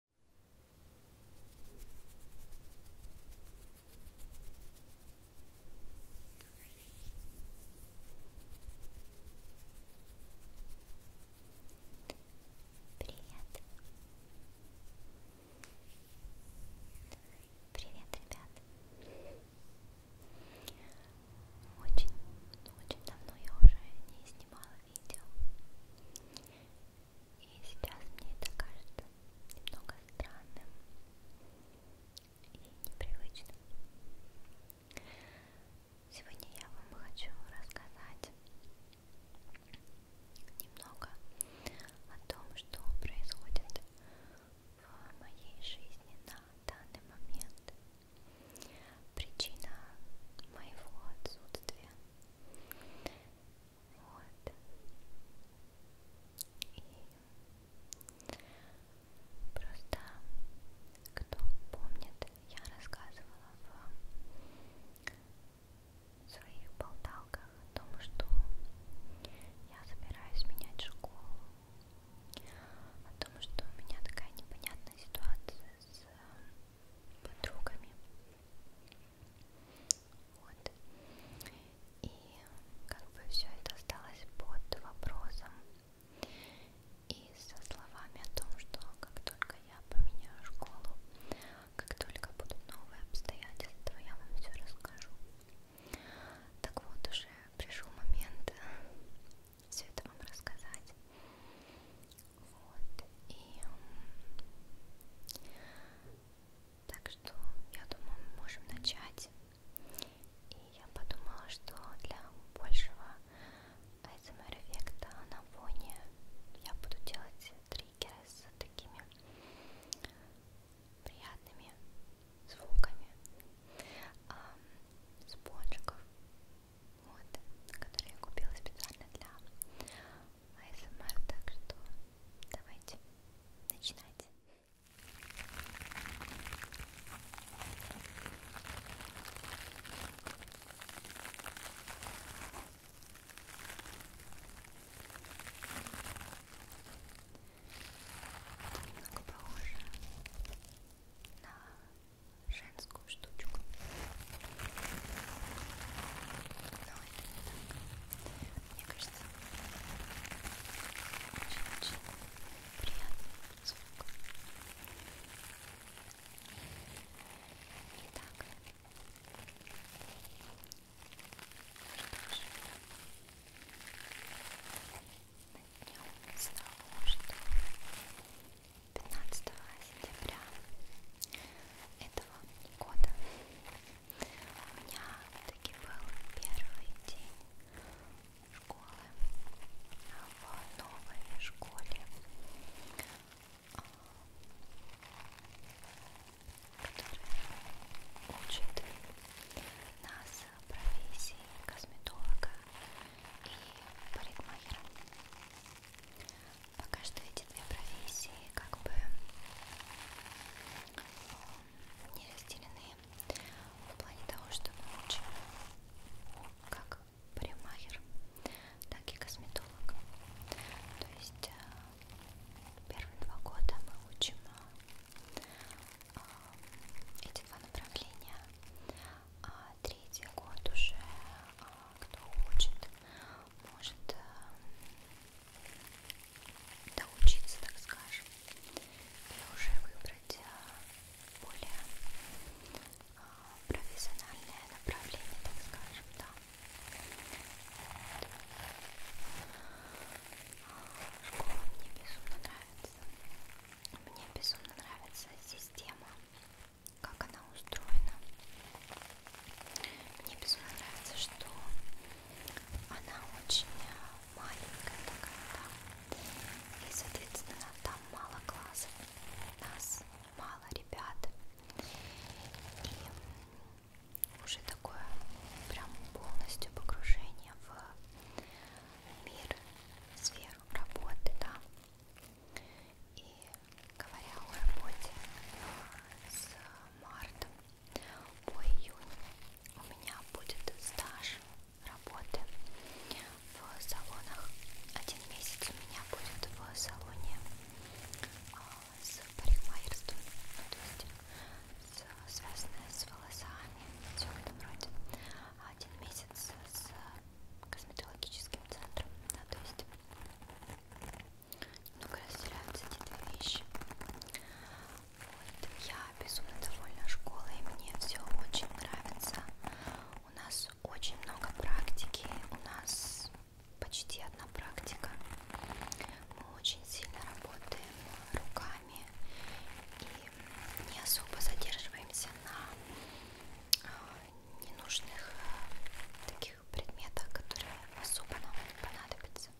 Привет. Привет, ребят. Очень, очень давно я уже не снимала видео. И сейчас мне это кажется немного странным и непривычным. Сегодня я вам хочу рассказать немного о том, что происходит в моей жизни на данный момент. Причина моего отсутствия вот. И просто, кто помнит, я рассказывала в своих болталках о том, что я собираюсь менять школу, о том, что у меня такая непонятная ситуация с подругами. Вот. И как бы все это осталось под вопросом. И со словами о том, что как только я поменяю школу, как только будут новые обстоятельства, я вам все расскажу. Так вот, уже пришел момент все это вам рассказать. Вот, и... Так что, я думаю, мы можем начать. И я подумала, что для большего ASMR эффекта на фоне я буду делать триггеры с такими приятными звуками а, спонжиков, вот, которые я купила специально для АСМР, так что давайте начинать. Немного похоже на женскую штучку. Но это не так. Мне кажется, очень-очень приятный звук. Итак, начнем с того, что 15 сентября это этого года. У меня таки был первый день школы в новой школе, а, которая учит нас профессии косметолога и парикмахера пока что эти две профессии как бы не разделены в плане того, что мы учим как парикмахер, так и косметолог. То есть э, первые два года мы учим э, э, эти два направления, а третий год уже кто хочет может э, доучиться, так скажем, и уже выбрать э, более э, профессиональное направление, так скажем, да. Школа мне безумно нравится. Мне безумно нравится система как она устроена. Мне безумно нравится, что она очень э, маленькая такая, да. И, соответственно, там мало классов. Нас мало ребят. И уже такое прям полностью погружение в мир, сферу работы, да. И говоря о работе с марта по июнь у меня будет стаж работы в салонах. Один месяц у меня будет в салоне а, с парикмахерством, ну, то есть с, связанное с волосами, все в этом роде. Один месяц с косметологическим центром, да, то есть много разделяются эти две вещи. Вот. Я безумно довольна школой, мне все очень нравится. У нас очень много практики, у нас почти одна практика. Мы очень сильно работаем руками и не особо задерживаемся на а, ненужных э, таких таких предметах, которые особо нам не понадобятся.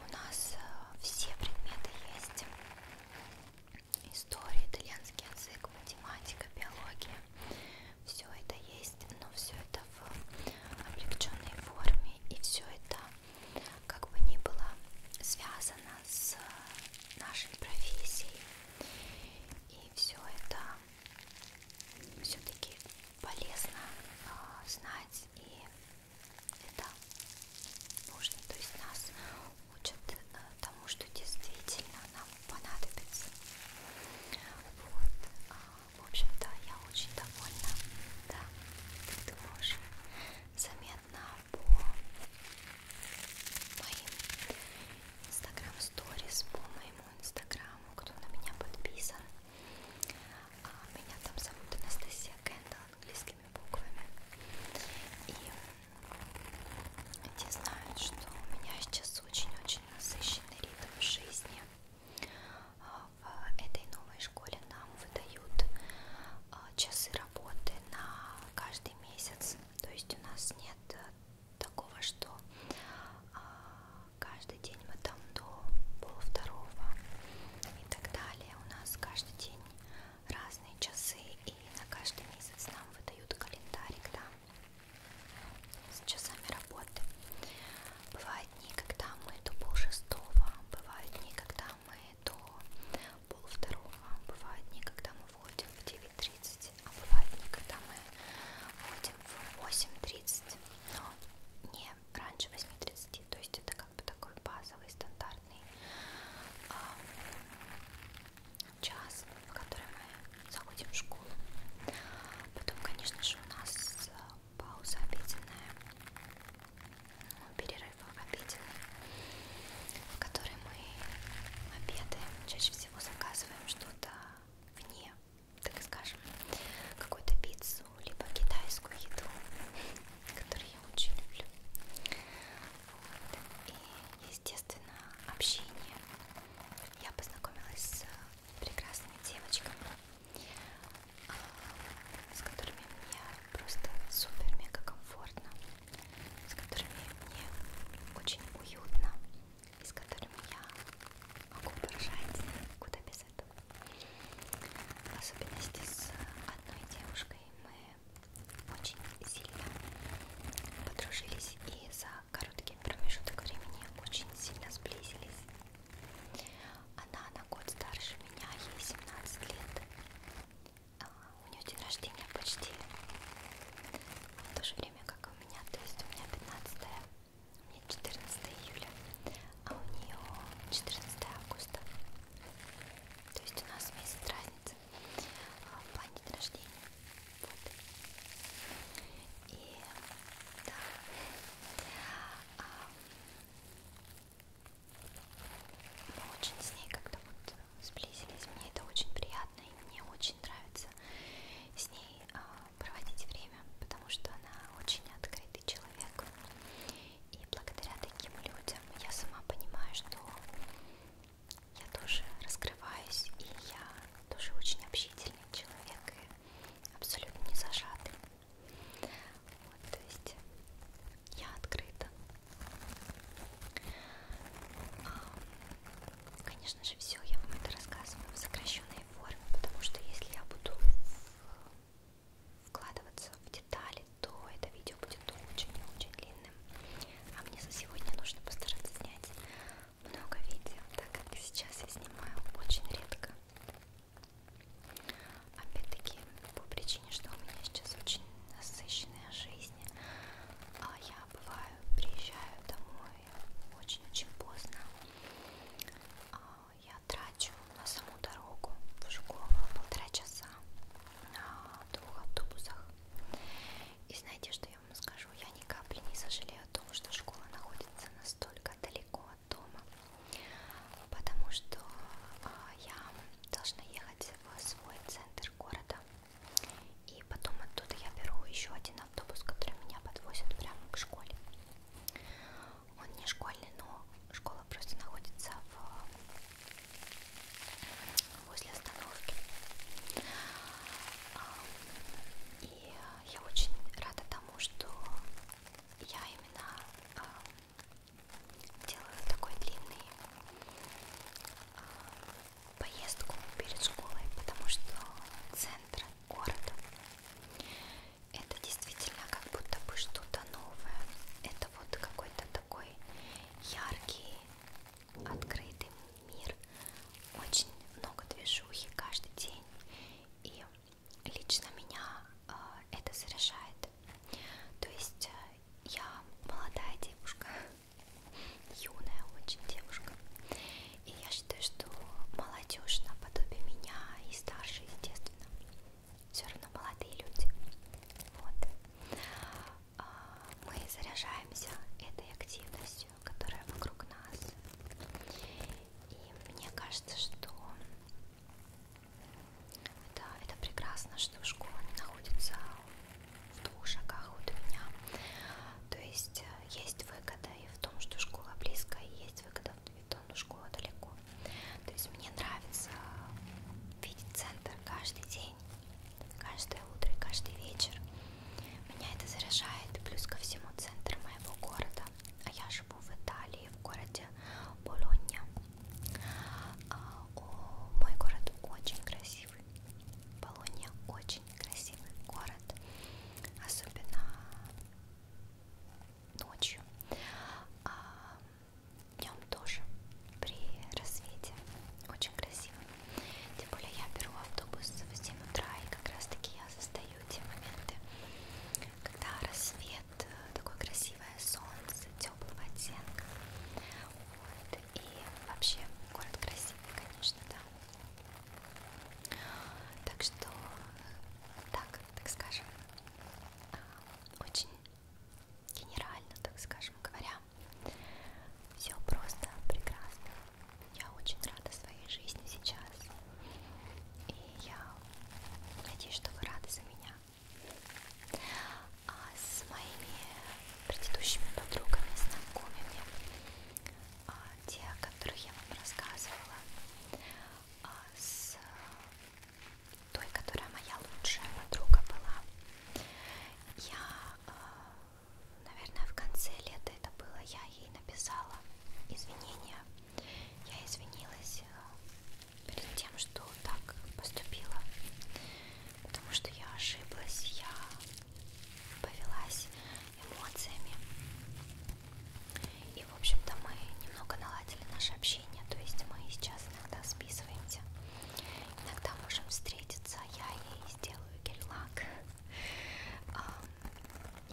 У нас э, все предметы есть. История, итальянский язык, математика, биология. Все это есть, но все это в облегченной форме. И все это, как бы ни было, связано с э, нашей профессией. И все это все-таки полезно э, знать и это нужно, то есть нас учат э, тому, что действительно нам понадобится. Вот, э, в общем-то, я очень довольна, да, ты тоже заметно по моим инстаграм сторис, по моим моему инстаграму, кто на меня подписан. А, меня там зовут Анастасия Кэндл английскими буквами. И те знают, что у меня сейчас очень-очень насыщенный ритм жизни. А, в этой новой школе нам выдают а, часы работы на каждый месяц. То есть у нас нет такого, что а, каждый день мы там до полвторого и так далее. У нас каждый день разные часы и на каждый месяц нам выдают календарик, да, с часами работы. Бывают дни, когда мы до полшестого, бывают дни, когда мы до полвторого, бывают дни, когда мы входим в 9.30, а бывают дни, когда мы входим в 8.30 но не раньше 8.30, то есть это как бы такой базовый стандартный э, час, в который мы заходим в школу. Потом, конечно же, у нас а, пауза обеденная, ну, перерыв обеденный, в который мы обедаем, чаще всего заказываем что-то вне так скажем, какую-то пиццу, либо китайскую еду, которую я очень люблю. Вот. И, естественно, общение. Я познакомилась с э, прекрасными девочками, с которыми мне просто супер-мега комфортно, с которыми мне очень уютно и с которыми я могу поржать, куда без этого. В особенности с одной девушкой мы очень сильно подружились и за короткий промежуток времени очень сильно сблизились. Она на год старше меня, ей 17 лет. А, у нее день рождения почти в то же время, как и у меня, то есть у меня 15 у меня 14 июля, а у нее 14 августа. То есть у нас месяц разницы а, в плане дня рождения. Вот. И да. А, мы очень с ней как-то вот сблизились. Мне это очень приятно и мне очень нравится с ней а, проводить время, потому что она очень открытый человек. И благодаря таким людям я сама понимаю, что я тоже раскрываюсь, и я тоже очень общительный человек, и абсолютно не зажатый. Вот, то есть я открыта. Конечно же, все я вам это рассказываю в сокращенной форме, потому что если я буду вкладываться в детали, то это видео будет очень и очень длинным. А мне за сегодня нужно постараться снять много видео, так как сейчас я снимаю очень редко. Опять-таки, по причине, что у меня сейчас очень насыщенная жизнь, а я бываю, приезжаю домой очень-очень поздно, я трачу на саму дорогу в Жуково полтора часа на двух автобусах. И знаете, что я вам скажу? Я ни капли не сожалею о том, что школа находится настолько далеко от дома, потому что а, я должна ехать в свой центр города. И потом оттуда я беру еще один автобус, который меня подвозит прямо к школе. Он не школьный, но школа просто находится в... возле остановки. А, и я очень рада тому, что я именно а, делаю такой длинный а, поездку перед школой, потому что центр города это действительно как будто бы что-то новое. Это вот какой-то такой яркий, открытый мир. Очень много движухи каждый день. И лично меня э, это заряжает. То есть э, я молодая девушка, юная очень девушка. И я считаю, что молодежь наподобие меня и старше, естественно, все равно молодые люди. Вот. А, мы заряжаемся этой активностью, которая вокруг нас. И мне кажется, что это, это прекрасно, что школа не находится в двух шагах от меня. То есть э, есть выгода и в том, что школа близко, и видеть выходов на вид, но школа далеко. То есть мне нравится видеть центр каждый день, каждое утро и каждый вечер. Меня это заряжает, плюс ко всему центр моего города. А я живу в Италии, в городе Болонья. А, мой город очень красивый. Болонья очень красивый город, особенно ночью, а днем тоже при рассвете очень красиво. Тем более я беру автобус в 7 утра и как раз таки я застаю те моменты, когда рассвет, э, такое красивое солнце, теплого оттенка. Вот. И вообще город красивый, конечно, да. Так что, так, так скажем, а, очень генерально, так скажем, говоря, все просто прекрасно. Я очень рада своей жизни сейчас. И я надеюсь, что вы рады за меня. А с моими предыдущими подругами, знакомыми а, те, о которых я вам рассказывала, а, с той, которая моя лучшая подруга была. Я, а, наверное, в конце лета это было, я ей написала извинения. Я извинилась э, перед тем, что так поступила, потому что я ошиблась, я повелась эмоциями. И, в общем-то, мы немного наладили наше общение, то есть мы сейчас иногда списываемся, иногда можем встретиться, я ей сделаю гель-лак,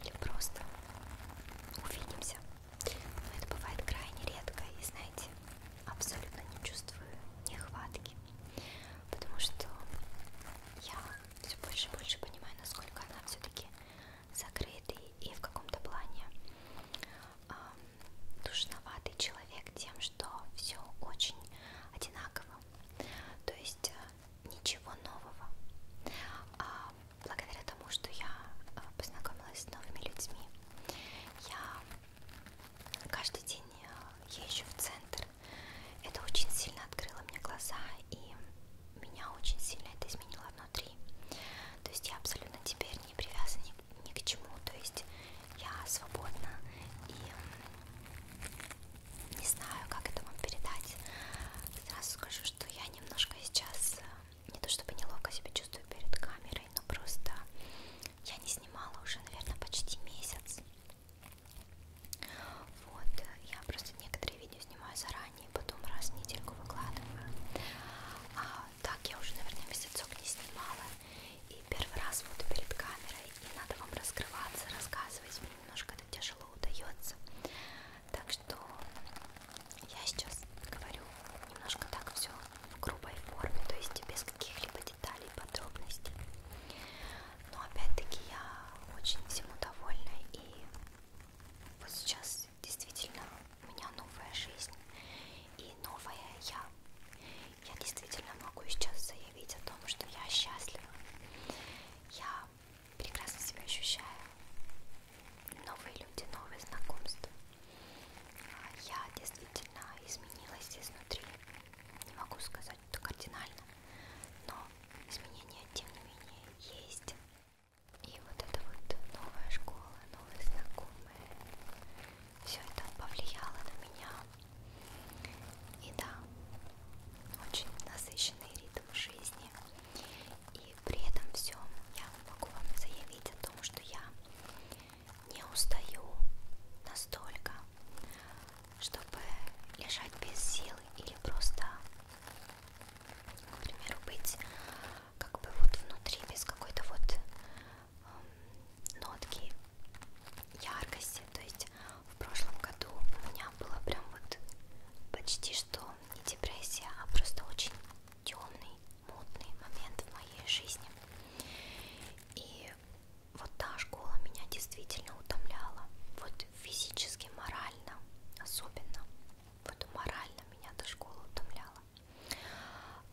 или просто увидимся. Но это бывает крайне редко, и, знаете, абсолютно не чувствую нехватки, потому что я все больше и больше понимаю, насколько она все-таки закрытый и в каком-то плане э, душноватый человек тем, что все очень одинаково, то есть э, ничего нового. А благодаря тому, что я э, познакомилась с новыми людьми, я каждый день э, езжу в центр. Это очень сильно открыло мне глаза и меня очень сильно это изменило внутри. То есть я абсолютно теперь не привязана ни, ни к чему. То есть я свободна и не знаю, как это вам передать. Сразу скажу, что я немножко сейчас э, не то чтобы неловко себя чувствую перед камерой, но просто я не снимала уже, наверное, почти месяц. Вот, я просто некоторые видео снимаю заранее они потом раз в недельку выкладываю. А, так я уже, наверное, месяцок не снимала. И первый раз вот перед камерой. И надо вам раскрываться, рассказывать. Мне немножко это тяжело удается. Так что я сейчас говорю немножко так все в грубой форме, то есть без каких-либо деталей, подробностей. Но опять-таки я очень всему довольна и вот сейчас действительно у меня новая жизнь и новая я. Я действительно могу сейчас заявить о том, что я счастлива. Я прекрасно себя ощущаю. Новые люди, новые знакомства. Я действительно изменилась изнутри. Не могу сказать, что кардинально, но изменения, тем не менее, есть. И вот эта вот новая школа, новые знакомые, все это повлияло на меня. И да, очень насыщенный ритм жизни. И при этом всем я могу вам заявить о том, что я не устаю настолько, чтобы лежать без сил или просто к примеру, быть как бы вот внутри без какой-то вот эм, нотки яркости. То есть в прошлом году у меня было прям вот почти что не депрессия, а просто очень темный, мутный момент в моей жизни. И вот та школа меня действительно утомляла, вот физически, морально особенно вот морально меня до школы утомляла.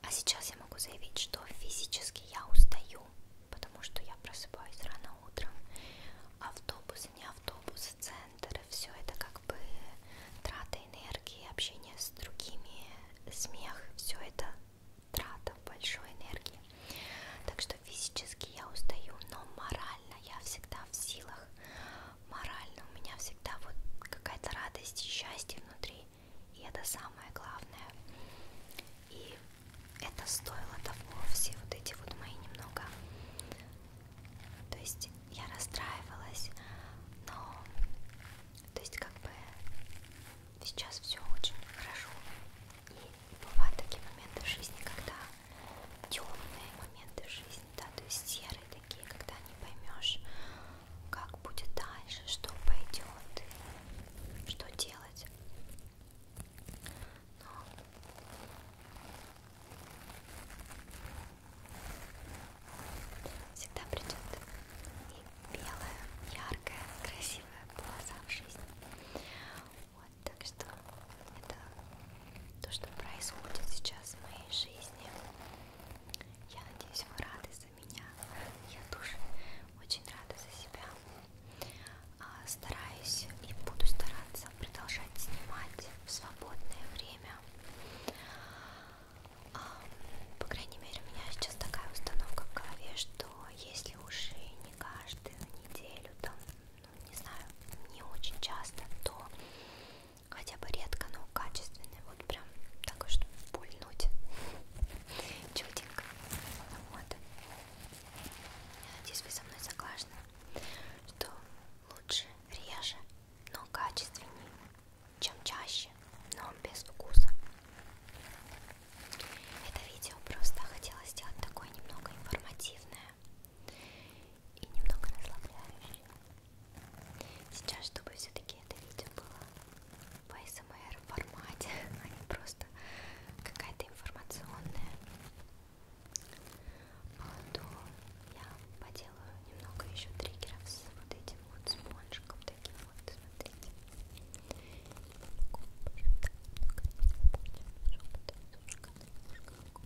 А сейчас я могу заявить, что физически я устаю, потому что я просыпаюсь рано утром. Автобус, не автобус, центр, все это как бы трата энергии, общение с другими, смех, все это трата большой энергии. Так что физически я устаю, но морально я всегда в силах морально у меня всегда вот какая-то радость и счастье внутри, и это самое главное. И это стоило того, все вот эти вот мои немного... То есть я расстраивалась, но... То есть как бы сейчас все очень хорошо. И бывают такие моменты в жизни, когда темные моменты жизни, да, то есть серые такие, когда не поймешь, как будет дальше, что пойдет, и что делать. Но... Всегда придет и белая, яркая, красивая полоса в жизни. Вот. Вот, так что это то, что происходит сейчас в моей жизни. Я надеюсь, вы рады за меня. Я тоже очень рада за себя. А, стараюсь и буду стараться продолжать снимать в свободное время. А, по крайней мере, у меня сейчас такая установка в голове, что если уже не каждую неделю, там ну, не знаю, не очень часто, то хотя бы редко, но качественный, вот прям так, чтобы пульнуть чуденько. Вот. Надеюсь, вы со мной согласны, что лучше реже, но качественнее, чем чаще, но без вкуса. Это видео просто хотела сделать такое немного информативное и немного расслабляющее. Сейчас, чтобы все-таки это видео было в ASMR формате, а не просто какая-то информационная, то я поделаю немного еще триггеров с вот этим вот спонжиком таким вот, смотрите. Немного, немного, немного, немного, немного, немного, немного.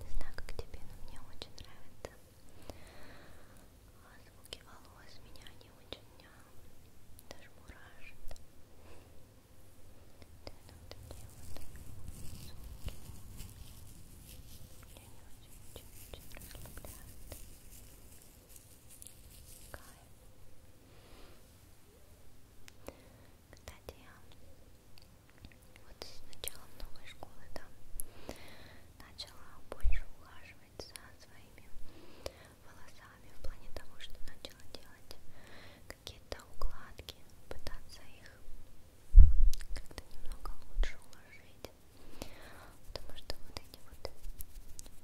Не знаю, как тебе, но мне очень нравится а звуки волос меня не очень даже мурашит. Да, ну, такие вот звуки меня не очень, очень, очень расслабляют. Кайф. Кстати, вот с началом новой школы, да, начала больше ухаживать за своими волосами в плане того, что начала делать какие-то укладки, пытаться их как-то немного лучше уложить, потому что вот эти вот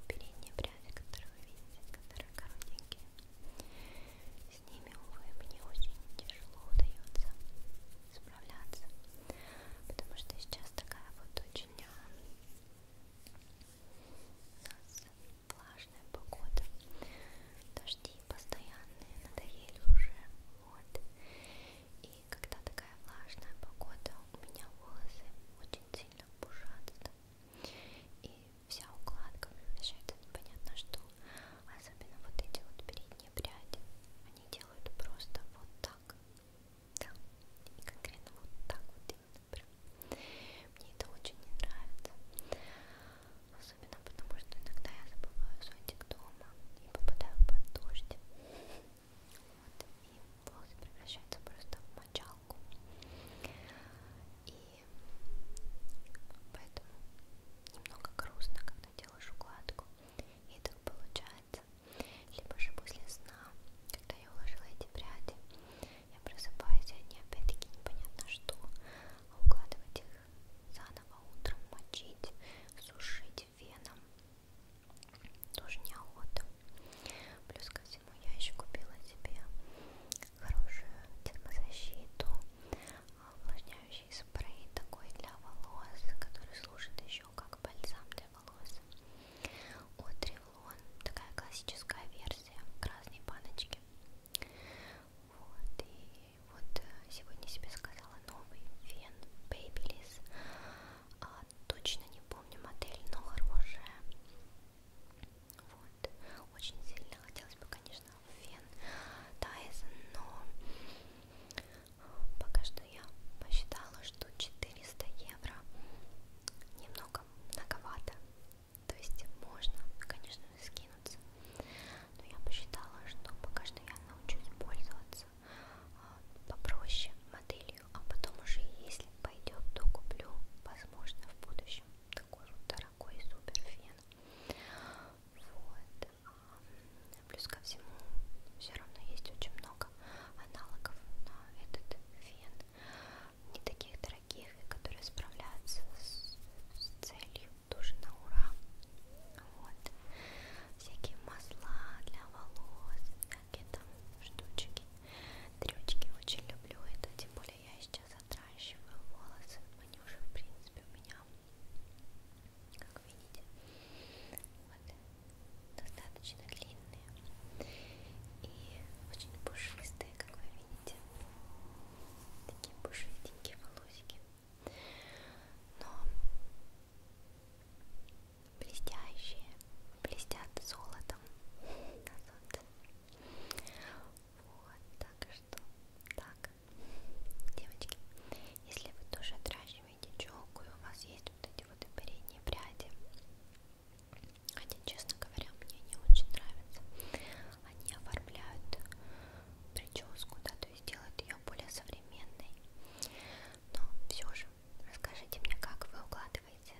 передние пряди, которые вы видите, которые коротенькие, с ними, увы, мне очень тяжело удается справляться потому что сейчас такая вот очень а, у нас влажная погода, дожди постоянные, надоели уже, вот, и когда такая влажная погода, у меня волосы очень сильно пушатся, и вся укладка превращается непонятно что, особенно вот эти вот передние пряди, они делают просто вот так. Да, и конкретно вот так вот именно прям. Мне это очень не нравится. Особенно потому, что иногда я забываю зонтик дома и попадаю под дождь. Вот, и волосы превращаются просто в мочалку. И поэтому немного грустно, когда делаешь укладку. И и так получается. Либо же после сна, когда я уложила эти пряди, я просыпаюсь, и они опять-таки непонятно что, а укладывать их заново утром, мочить, сушить веном тоже неохота. Плюс ко всему я еще купила себе хорошую термозащиту, а, увлажняющую очищающий спрей такой для волос, который служит еще как бальзам для волос от Revlon, такая классическая версия в красной баночке вот, и вот э, сегодня себе сказала новый фен Babyliss а, точно не помню модель, но хорошая вот, очень сильно хотелось бы, конечно, фен Dyson, но Пока что я посчитала, что 400 евро немного многовато. То есть можно, конечно, скинуться. Но я посчитала, что пока что я научусь пользоваться а, попроще моделью, а потом уже если пойдет, то куплю, возможно, в будущем такой вот дорогой супер фен. Вот. Плюс ко всему, все равно есть очень много аналогов на этот фен. Не таких дорогих, которые справляются с, с целью тоже на ура. Вот. Всякие масла для волос, всякие там штучки. Трючки очень люблю это, тем более я сейчас отращиваю волосы. Они уже, в принципе, у меня как видите вот. достаточно длинные и очень пушистые как вы видите такие пушистенькие волосики но блестящие блестят золотом на солнце вот так что так Девочки, если вы тоже отращиваете челку и у вас есть вот эти вот передние пряди, хотя, честно говоря, мне не очень нравятся, они оформляют прическу, да, то есть делают ее более современной. Но все же, расскажите мне, как вы укладываете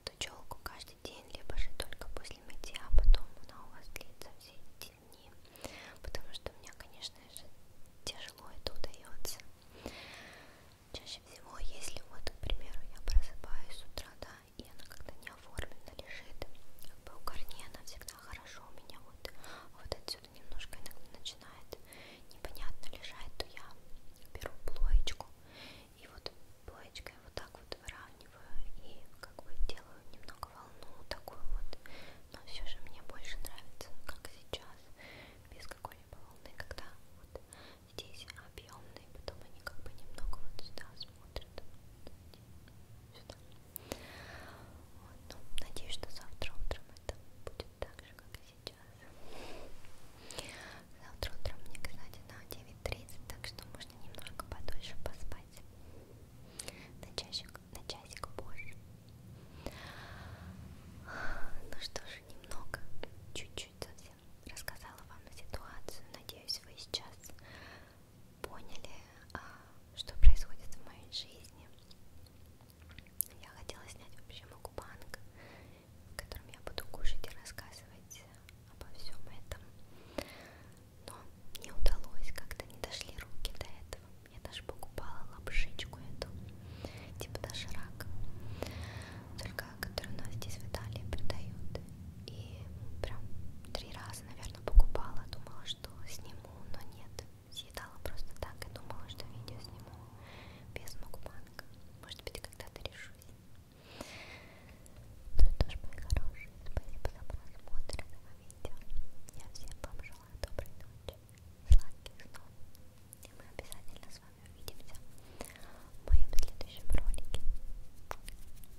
эту челку каждый день, либо же только после мытья, а потом она у вас длится все эти темнее. Потому что мне, конечно же, тяжело это удается. Чаще всего, если вот, к примеру, я просыпаюсь с утра, да, и она когда не оформлена лежит, как бы у корней она всегда хорошо у меня вот, вот отсюда немножко иногда начинает непонятно лежать, то я беру плоечку и вот плоечкой вот так вот выравниваю и как бы делаю немного волну такую вот, но все же мне больше нравится, как сейчас, без какой-либо волны, когда вот здесь объемные, потом они как бы немного вот сюда смотрят, сюда. Вот, ну, надеюсь, что завтра утром это будет так же, как и сейчас. Завтра утром мне, кстати, на 9.30, так что можно немножко подольше поспать. На часик, на часик позже. Ну что же, немного, чуть-чуть совсем рассказала вам ситуацию. Надеюсь, вы сейчас поняли, а, что происходит в моей жизни. Я хотела снять вообще мукбанг, в котором я буду кушать и рассказывать обо всем этом. Но не удалось, как-то не дошли руки до этого. Я даже покупала лапшичку эту, типа даже рак, только которую у нас здесь в Италии продают. И прям три раза, наверное, покупала, думала, что сниму, но нет. Съедала просто так и думала, что видео сниму без мукбанка. Может быть, когда-то решусь. Ну что ж, мои хорошие, спасибо за просмотр этого видео. Я всем вам желаю доброй ночи сладких снов. И мы обязательно с вами увидимся в моем следующем ролике. Пока.